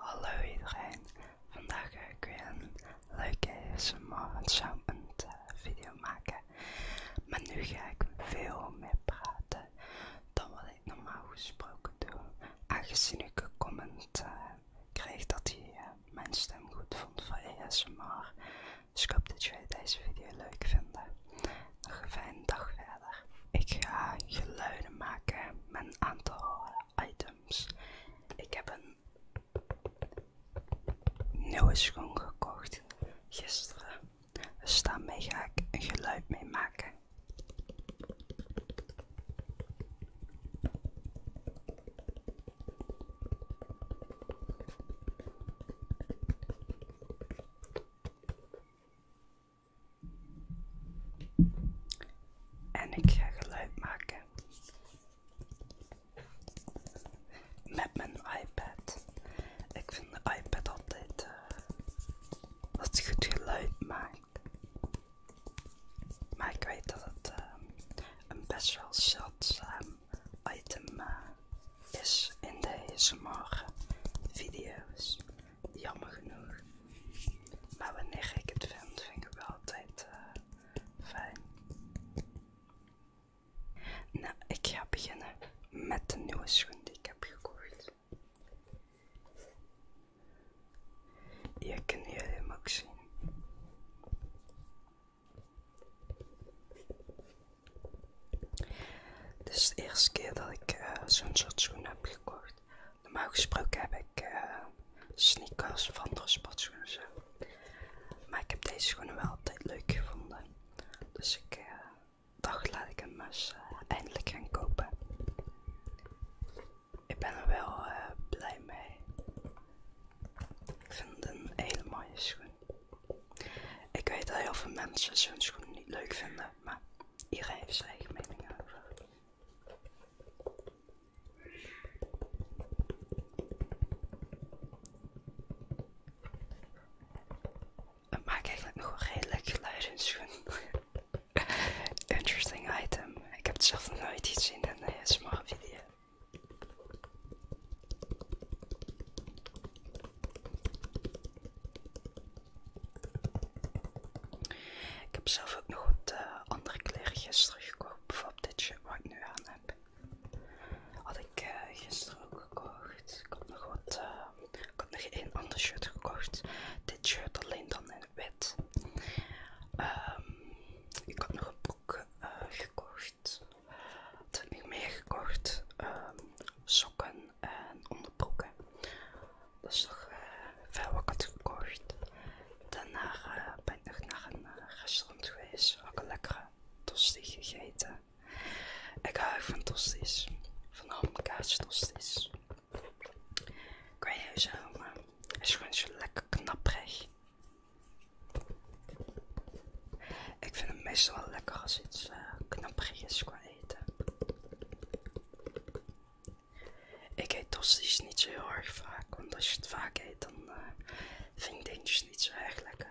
Hallo iedereen, vandaag ga ik weer een leuke morgensound video maken. Maar nu ga ik veel meer praten dan wat ik normaal gesproken doe. Aangezien ik een comment eh, kreeg dat hij eh, mijn stem goed vond voor ASMR. Dus ik hoop dat jullie deze video leuk vinden. Nog een fijne dag verder. Ik ga geluiden maken met een horen items. Ik heb een nieuwe schoen gekocht gisteren. Dus mij ga ik een geluid mee maken. En ik ga geluid maken met mijn iPad. Ik vind de iPad altijd wat eh, goed geluid maakt. Maar ik weet dat het eh, een best wel zeldzaam item eh, is in deze ASMR video's jammer genoeg. Maar wanneer ik het vind, vind ik het altijd eh, fijn. Nou, ik ga beginnen met de nieuwe schoen die ik heb gekocht. Je kunnen jullie hem ook zien. Dit is de eerste keer dat ik eh, zo'n soort schoen heb gekocht. Normaal gesproken heb ik eh, sneakers of andere sportschoenen zo. Maar ik heb deze schoenen wel altijd leuk gevonden. Dus ik eh, dacht laat ik hem eens eh, eindelijk gaan kopen. Ik ben er wel blij mee. Ik vind het een hele mooie schoen. Ik weet dat heel veel mensen zo'n schoenen niet leuk vinden, maar iedereen heeft zijn eigen mening over. Het maakt eigenlijk nog wel redelijk geluid in schoen. Interesting item. Ik heb het zelf nog nooit iets in een ASMR video. Ik heb zelf ook nog wat eh, andere kleren gisteren gekocht. Bijvoorbeeld dit shirt wat ik nu aan heb. Had ik eh, gisteren ook gekocht. Ik had nog wat... Eh, ik had nog één ander shirt gekocht. Dit shirt alleen dan in wit. Ehm, ik had nog een broek gekocht. Toen heb ik meer gekocht? Ehm, sokken en onderbroeken. Dat is toch veel eh, wat ik had gekocht. Daarna eh, ben ik nog naar een eh, restaurant geweest. Had ook een lekkere tosti gegeten. Ik hou van tosties. Van hamkaas tosties. Kan je zo maar. Is gewoon zo lekker knapperig. Ik vind het meestal wel lekker als iets knappig is qua eten. Ik eet tosti's niet zo heel erg vaak, want als je het vaak eet, dan eh, vind ik dingetjes niet zo erg lekker.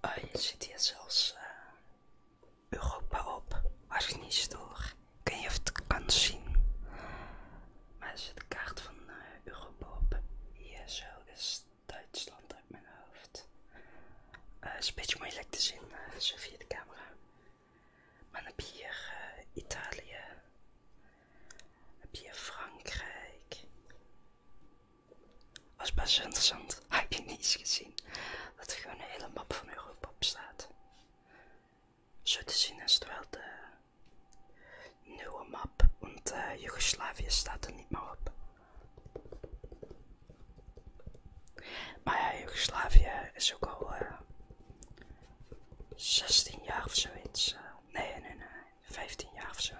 Oh, je ziet hier zelfs eh, Europa op. Als ik niet stoor. kun je het kan zien. Maar er zit de kaart van eh, Europa op. Hier zo is Duitsland uit mijn hoofd. Eh, het is een beetje moeilijk te zien, zo via de camera. Maar dan heb je hier eh, Italië, dan heb hier Frankrijk. Dat was best interessant, heb je niet eens gezien. Dat er gewoon een hele map van Europa op staat. Zo te zien is het wel de nieuwe map, want uh, Joegoslavië staat er niet meer op. Maar ja, Joegoslavië is ook al eh, 16 jaar of zoiets. Eh, nee, nee, nee, 15 jaar of zo.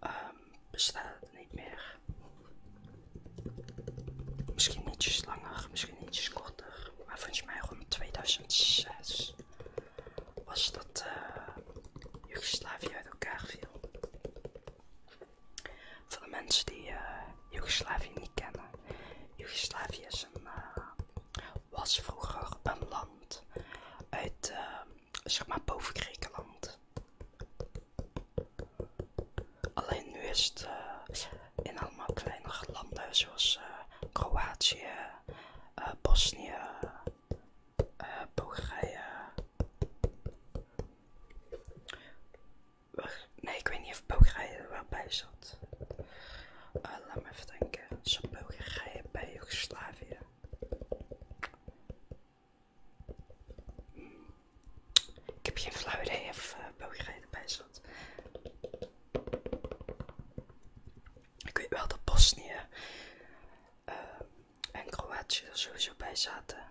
Ehm, bestaat het niet meer. Misschien nietjes langer, misschien ietsjes korter. Maar je mij rond 2006 was dat uh, Joegoslavië uit elkaar viel. Voor de mensen die uh, Joegoslavië niet kennen. Joegoslavië eh, was vroeger een land uit, eh, zeg maar, boven Griekenland. Alleen nu is het eh, in allemaal kleinere landen zoals Kroatië, Bosnië, Bulgarije. Nee, ik weet niet of Bulgarije er wel bij zat. Eh, laat me even denken. Zat Bulgarije bij Joegoslavië? Ik heb geen flauw idee of uh, erbij zat. Ik weet wel dat Bosnië eh, en Kroatië er sowieso bij zaten.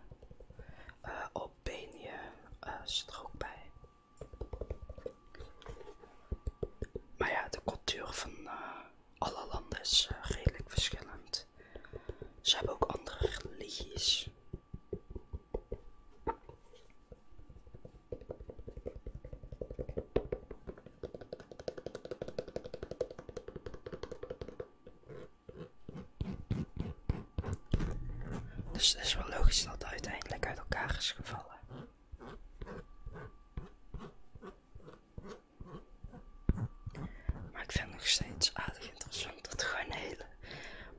Uh, Albanië er ook bij. Maar ja, de cultuur van eh, alle landen is eh, redelijk verschillend. Ze hebben ook andere religies. Dus het is wel logisch dat het uiteindelijk uit elkaar is gevallen. Maar ik vind het nog steeds aardig interessant dat er gewoon een hele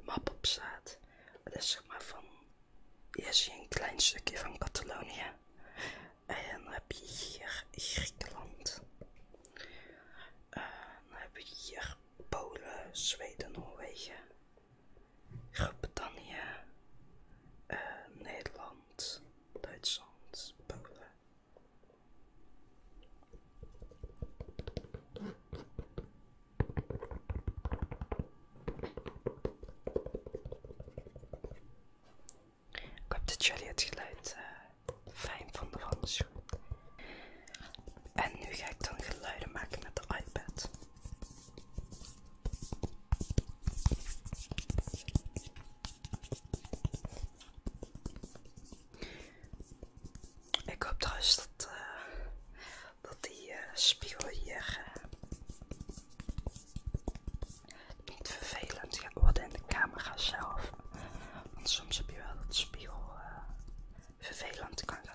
map op staat. Het is zeg maar van, hier zie een klein stukje van Catalonië. En dan heb je hier Griekenland. Eh, dan heb je hier Polen, Zweden, Noorwegen. Groot-Brittannië, eh, Nederland, Duitsland, Polen. Ik hoop dat jullie het geluid eh, fijn vonden van de schoen. En nu ga ik dan geluiden maken met de iPad. Ik hoop trouwens dat, eh, dat die eh, spiegel hier eh, niet vervelend gaat worden in de camera zelf. Want soms heb je wel dat spiegel vervelend kan gaan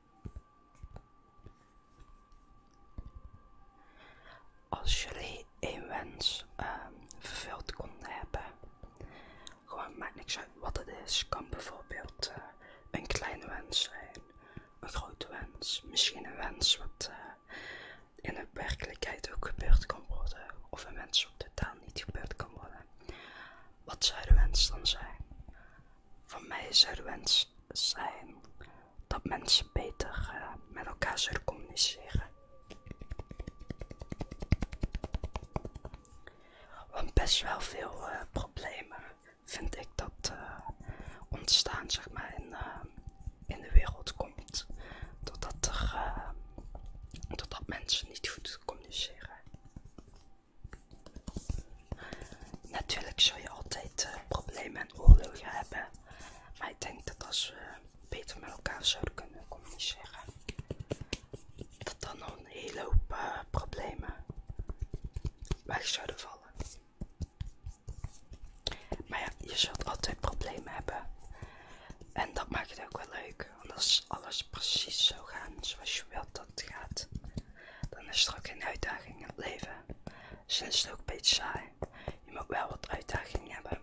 Als jullie een wens ehm, vervuld konden hebben, gewoon maakt niks uit wat het is, kan bijvoorbeeld eh, een kleine wens zijn, een grote wens, misschien een wens wat eh, in de werkelijkheid ook gebeurd kan worden, of een wens wat totaal niet gebeurd kan worden. Wat zou de wens dan zijn? Voor mij zou de wens zijn dat mensen beter eh, met elkaar zullen communiceren. Want best wel veel eh, problemen vind ik dat eh, ontstaan, zeg maar, in, in de wereld komt. Doordat, er, doordat mensen niet goed communiceren. Natuurlijk zul je altijd eh, problemen en oorlogen hebben. Maar ik denk dat als we beter met elkaar zouden kunnen communiceren, dat dan nog een hele hoop eh, problemen weg zouden vallen. Maar ja, je zult altijd problemen hebben. En dat maakt het ook wel leuk. Want als alles precies zou gaan zoals je wilt dat het gaat, dan is er ook geen uitdaging in het leven. Dus is het ook een beetje saai. Je moet wel wat uitdagingen hebben.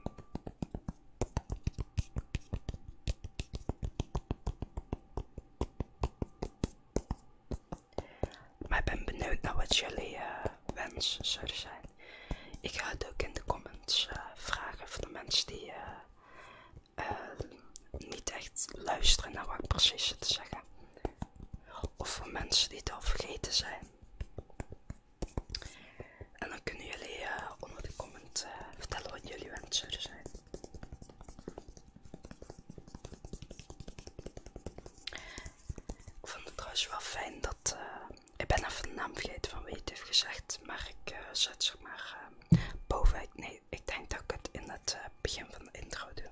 Maar ik ben benieuwd naar wat jullie eh, wens wensen zouden zijn. Ik ga het ook in de comments eh, vragen voor de mensen die eh, niet echt luisteren naar wat ik precies zit te zeggen. Of voor mensen die het al vergeten zijn. En dan kunnen jullie eh, onder de comment eh, vertellen wat jullie wensen zijn. Ik vond het trouwens wel fijn dat... Eh, ik ben even de naam vergeten van wie het heeft gezegd. Maar ik zet zeg maar Nee, ik denk dat ik het in het begin van de intro doe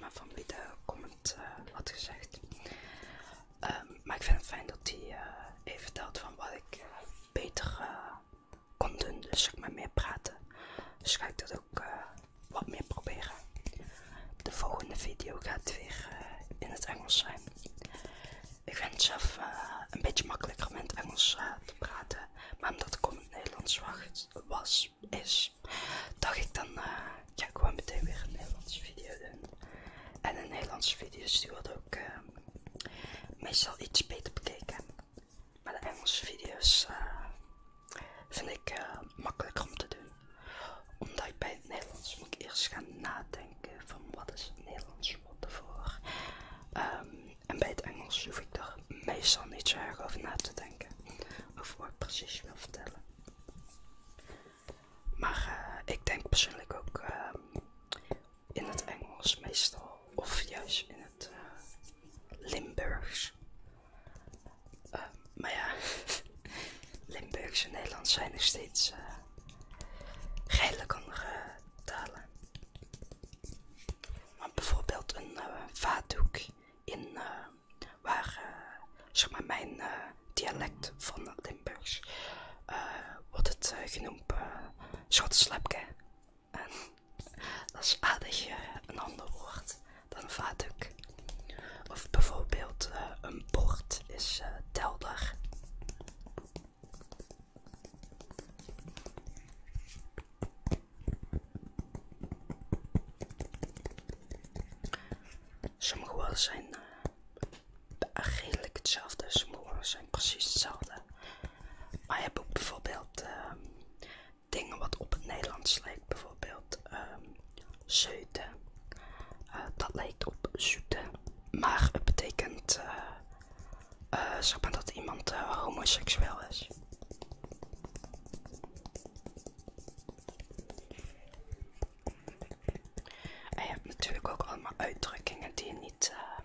maar van de comment uh, had gezegd. Ehm, maar ik vind het fijn dat hij eh, even vertelt van wat ik eh, beter kon doen. Dus ik maar meer praten. Dus ga ik dat ook wat meer proberen. De volgende video gaat weer in het Engels zijn. Ik vind het zelf een beetje makkelijker om in het Engels te praten. Maar omdat ik in het Nederlands was, is, dat ik dan, uh, ik meteen weer een Nederlandse video doen. En de Nederlandse video's die worden ook eh, meestal iets beter bekeken. Maar de Engelse video's eh, vind ik makkelijker om te doen. Omdat ik bij het Nederlands moet ik eerst gaan nadenken van wat is het Nederlands woord ervoor. Ehm, en bij het Engels hoef ik daar meestal niet zo erg over na te denken. Over wat ik precies wil vertellen. Maar eh, ik denk persoonlijk ook eh, in het Engels meestal, of juist in het eh, Limburgs. maar ja, Limburgs en Nederlands zijn nog steeds uh, redelijk andere talen. Maar bijvoorbeeld een uh, vaatdoek in waar eh, zeg maar mijn eh, dialect van Limburgs eh, wordt het genoemd uh, schotslapke. En dat is aardig een ander woord dan een Of bijvoorbeeld een bord is telder. Sommige woorden zijn redelijk eh, hetzelfde, sommige woorden zijn precies hetzelfde. Maar je hebt ook bijvoorbeeld ehm, dingen wat op het Nederlands lijkt, bijvoorbeeld ehm, zeuten. Eh, dat lijkt op zoete, maar het betekent eh, zeg maar dat iemand homoseksueel is. En je hebt natuurlijk ook allemaal uitdrukkingen die je niet eh,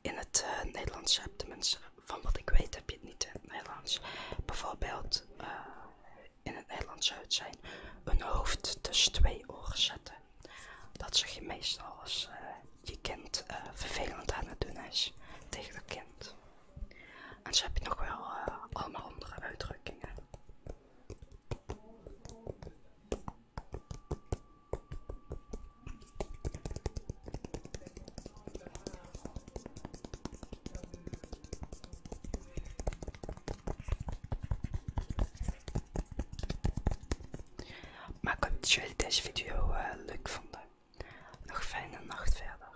in het eh, Nederlands hebt. Tenminste, van wat ik weet heb je het niet in het Nederlands. Bijvoorbeeld eh, in het Nederlands zou het zijn een hoofd tussen twee oren zetten. Dat zeg je meestal als je kind vervelend aan het doen is tegen dat kind. En ze heb je nog wel eh, allemaal andere uitdrukkingen. Maar ik hoop dat jullie deze video eh, leuk vonden. Nog fijne nacht verder.